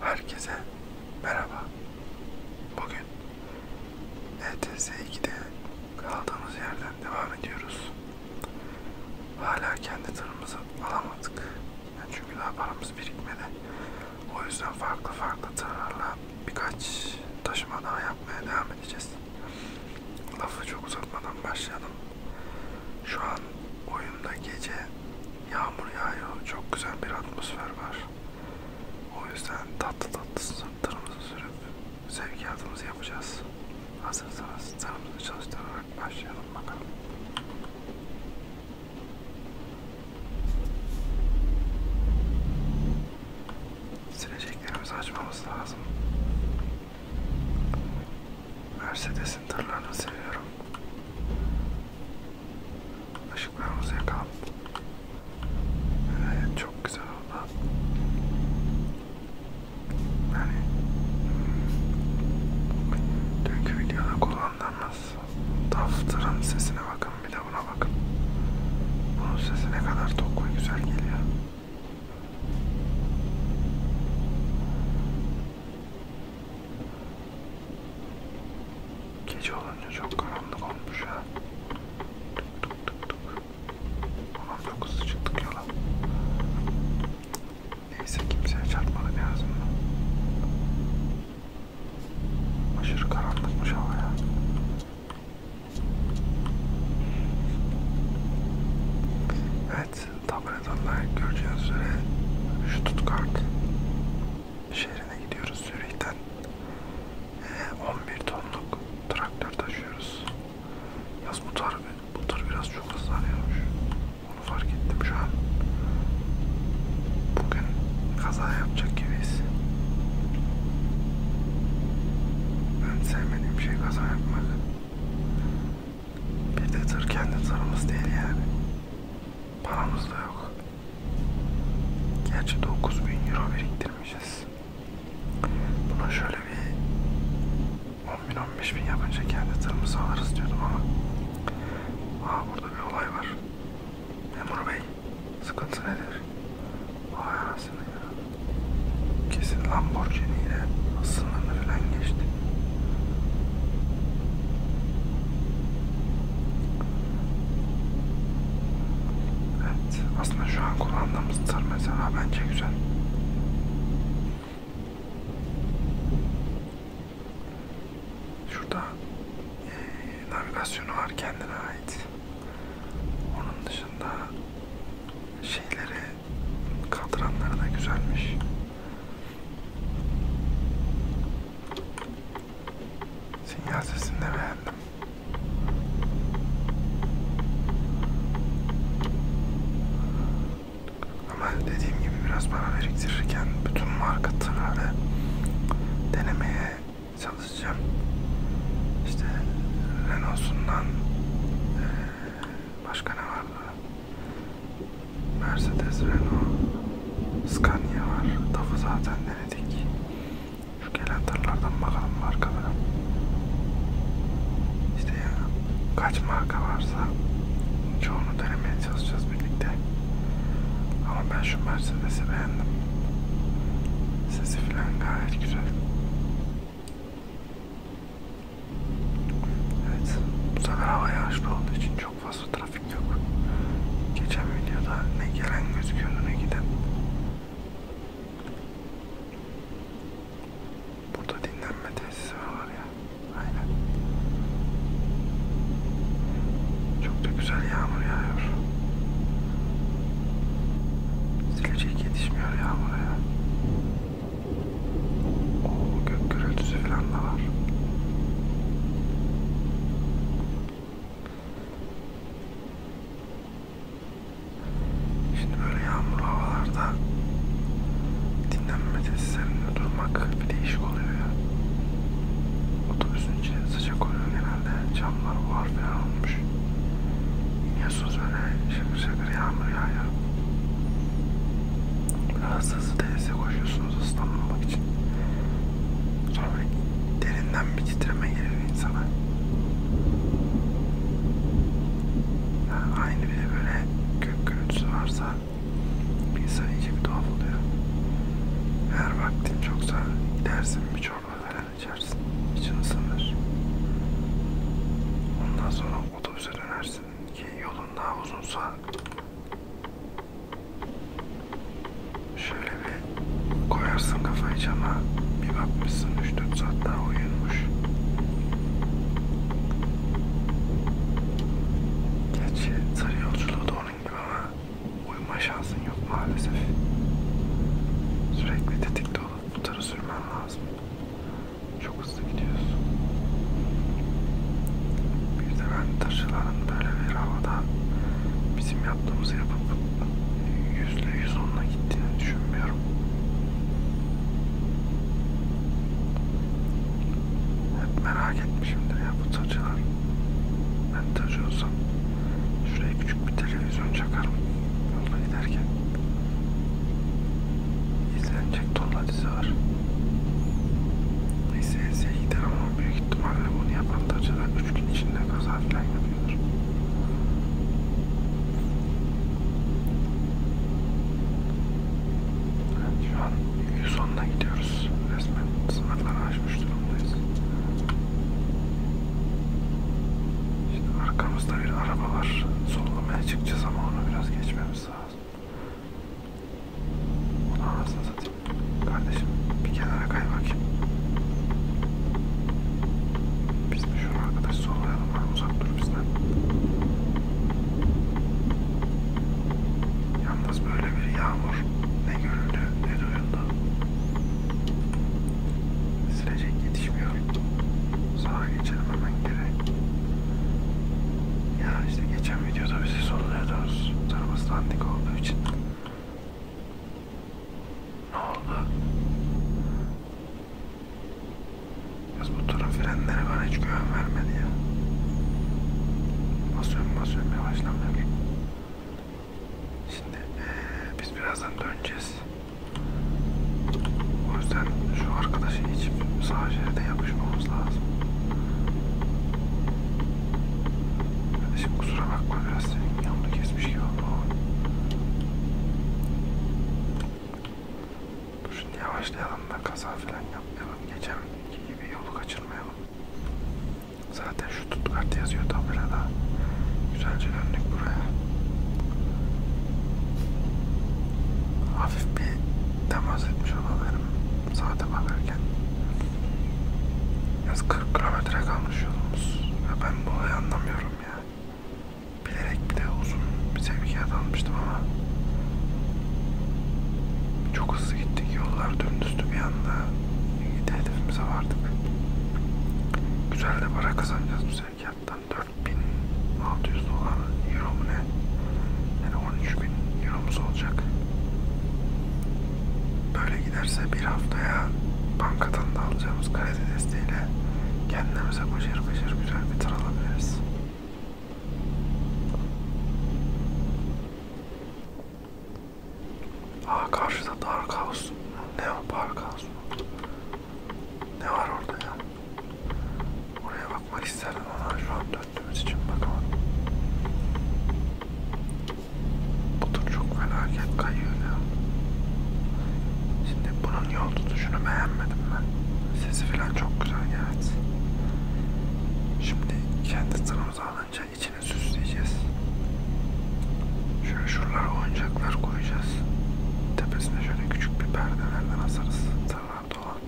Herkese merhaba. Bugün ETS 2'de kaldığımız yerden devam ediyoruz. Hala kendi tırımızı alamadık. Yani çünkü daha paramız birikmedi. O yüzden farklı farklı tırlarla birkaç taşıma daha yapmaya devam edeceğiz. Lafı çok uzatmadan başlayalım. Şu an oyunda gece yağmur yağıyor. Çok güzel bir atmosfer var. O yüzden tatlı tatlı sırtlarımızı sürüp sevkiyatımızı yapacağız. Hazırsanız sırtlarımızı çalıştırarak başlayalım bakalım. Sileceklerimizi açmamız lazım. Mercedes'in tırlarını seviyorum. Işıklarımız yakalım. Evet çok güzel oldu. Yani hmm, dünkü videoda kullandığımız taftırın sesine bakın bir de buna bakın. Bunun sesi ne kadar tok ve güzel geliyor. Gece olunca çok karanlık olmuş ya. Tık tık tık tık. Ulan çok hızlı çıktık yola. Neyse kimseye çarpmadı en azından. Aşırı karanlıkmış hava ya. Evet Evet, tabletanlar göreceğiniz üzere şu Stuttgart şehrine gidiyoruz Zürih'ten. 11 ee, tonluk traktör taşıyoruz. Yaz bu tar, bu tar biraz çok hızlı arıyormuş. Onu fark ettim şu an. Bugün kaza yapacak gibiyiz. Ben sevmediğim şey kaza yapmak. Bir de tır kendi tırımız değil yani. Paramız da yok. Gerçi 9000 euro biriktirmişiz. Buna şöyle bir 10 bin 15 bin yapınca kendi tırımızı alırız diyordum ama. Aa burada bir olay var. Memur bey sıkıntı nedir? Vay anasını ya. Kesin Lamborghini ile sınırını falan geçti. Evet. Aslında şu an kullandığımız tır mesela bence güzel. Şurada e, navigasyonu var kendine ait. Onun dışında şeyleri kadranları da güzelmiş. Sinyal sesini de beğendim. Ama dediğim gibi biraz para biriktirirken bütün marka tırları denemeye çalışacağım. İşte Renault'sundan e, başka ne vardı? Mercedes, Renault, Scania var. Tafı zaten denedik. Şu gelen tırlardan bakalım markalara. İşte ya, kaç marka varsa çoğunu denemeye çalışacağız birlikte. Ama ben şu Mercedes'i beğendim. Sesi falan gayet güzel. Evet, bu sefer hava yağışlı olduğu için çok fazla trafik yok. Geçen videoda ne gelen gözüküyordu ne giden. Burada dinlenme tesisi var ya. Aynen. Çok da güzel yağmur yağıyor. Silecek yetişmiyor ya buraya. Oo gök gürültüsü falan da var. Şimdi böyle yağmurlu havalarda dinlenme tesislerinde durmak bir değişik oluyor ya. Otobüsün içi sıcak oluyor genelde camlar var falan olmuş. İniyorsunuz böyle şakır şakır yağmur yağıyor. Biraz hızlı denize koşuyorsunuz ıslanmamak için. Sonra böyle derinden bir titreme geliyor insana. Yani aynı bir de böyle gök gürültüsü varsa insan iyice bir tuhaf oluyor. Eğer vaktin çoksa gidersin bir çorba falan içersin. İçin ısınır. Ondan sonra otobüse dönersin ki yolun daha uzunsa şöyle bir koyarsın kafayı cama bir bakmışsın 3-4 saat daha uyunmuş. Gerçi sarı yolculuğu da onun gibi ama uyuma şansın yok maalesef. Sürekli tetikte olup bu tara sürmen lazım. Çok hızlı gidiyorsun. Bir de ben taşıların böyle bir havada bizim yaptığımızı yapıp yüzle yüz onla gittiğini düşünmüyorum. Hep merak etmişimdir ya bu tacılar montajı olsam şuraya küçük bir televizyon çakarım yolda giderken izlenecek tonla dizi var neyse Eze'ye gider ama büyük ihtimalle bunu yapan da acaba 3 gün içinde kaza falan yapıyordur evet, şu an 110'la gidiyor yaşıyoruz. Resmen sınırları aşmış durumdayız. Şimdi arkamızda bir araba var. Sollamaya çıkacağız ama onu biraz geçmemiz lazım. Onu anasını satayım. Kardeşim bir kenara kay bakayım. Biz de şu arkadaş sollayalım. Uzak dur bizden. Yalnız böyle bir yağmur ne görüldü ne duyuldu. Silecek yetişmiyor. Sağa geçelim hemen geri. Ya işte geçen videoda bizi soruyoruz. Tarımız dandik olduğu için. Ne oldu? Kız bu turun frenleri bana hiç güven vermedi ya. Basıyorum basıyorum yavaşlam ver. Şimdi ee, biz birazdan döneceğiz. O yüzden şu arkadaşı geçip sağ şeride yapışmamız lazım. Kardeşim kusura bakma biraz senin yanını kesmiş gibi oldu. Dur şimdi yavaşlayalım da kaza falan yapmayalım. Geçenki gibi yolu kaçırmayalım. Zaten şu tut kartı yazıyor tabelada. Güzelce döndük buraya. Hafif bir temas etmiş olabilirim saate bakarken. Yaz 40 kilometre kalmış yolumuz. Ya ben bu olayı anlamıyorum ya. Bilerek bir de uzun bir sevkiye dalmıştım ama çok hızlı gittik. Yollar dümdüzdü bir anda. İyi de hedefimize vardık. Güzel de para kazanacağız bu sevkiyattan. 4600 dolar euro mu ne? Yani 13000 euromuz olacak. Böyle giderse bir haftaya bankadan da alacağımız kredi desteğiyle kendimize başarı başarı güzel bir tır alabiliriz. Aa karşıda Dark House. Ne o Park House? Ne var orada ya? Oraya bakmak isterdim ama şu an döndüğümüz için bakamadım. Bu tur çok felaket kayıyor ya. Şimdi bunun bunun yol tutuşunu beğenmedim ben. Sesi falan çok güzel evet. Şimdi kendi tırımıza alınca içine süsleyeceğiz. Şöyle şuralara oyuncaklar koyacağız. Tepesine şöyle küçük bir perdelerden asarız. Tırlarda olan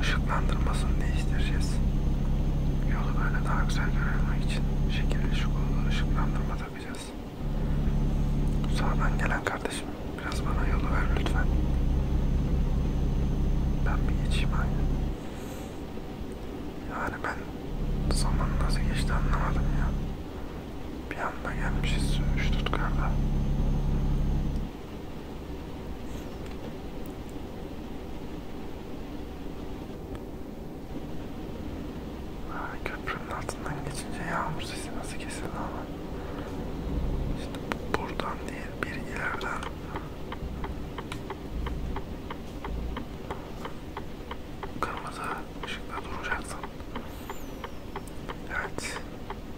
ışıklandırmasını değiştireceğiz. Yolu böyle daha güzel görünmek için şekilli şıklı ışıklandırma takacağız. Sağdan gelen kardeşim biraz bana yolu ver lütfen. Ben bir geçeyim aynı. Yani ben zaman nasıl geçti anlamadım ya. Bir anda gelmişiz şu tutkarda. köprü köprünün altından geçince yağmur sesi nasıl kesildi ama işte buradan değil bir ileriden kırmızı ışıkta duracaksın. Evet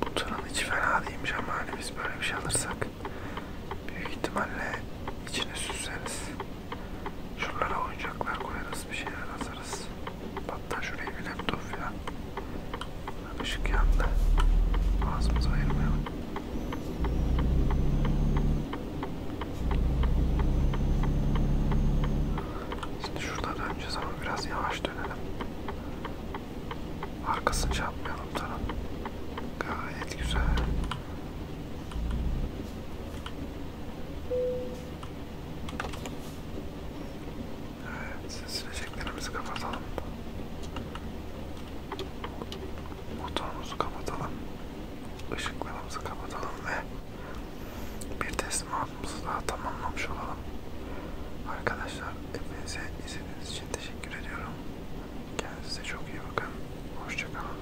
bu tırın içi fena değilmiş ama hani biz böyle bir şey alırsak büyük ihtimalle içine süsleriz. Şuralara oyuncaklar koyarız bir şeyler hazırız. Hatta şuraya bir laptop filan. Işık yandı. Ağzımızı ayırmayalım. Şimdi şurada döneceğiz ama biraz yavaş dönelim. Arkasını çarpmayalım şey tarafın. Gayet güzel. Evet, sileceklerimizi kapatalım. Motorumuzu kapatalım. Işıklarımızı kapatalım ve bir teslimatımızı daha tamamlamış olalım. Arkadaşlar hepinize izlediğiniz için teşekkür ediyorum. Kendinize çok iyi bakın. Hoşçakalın.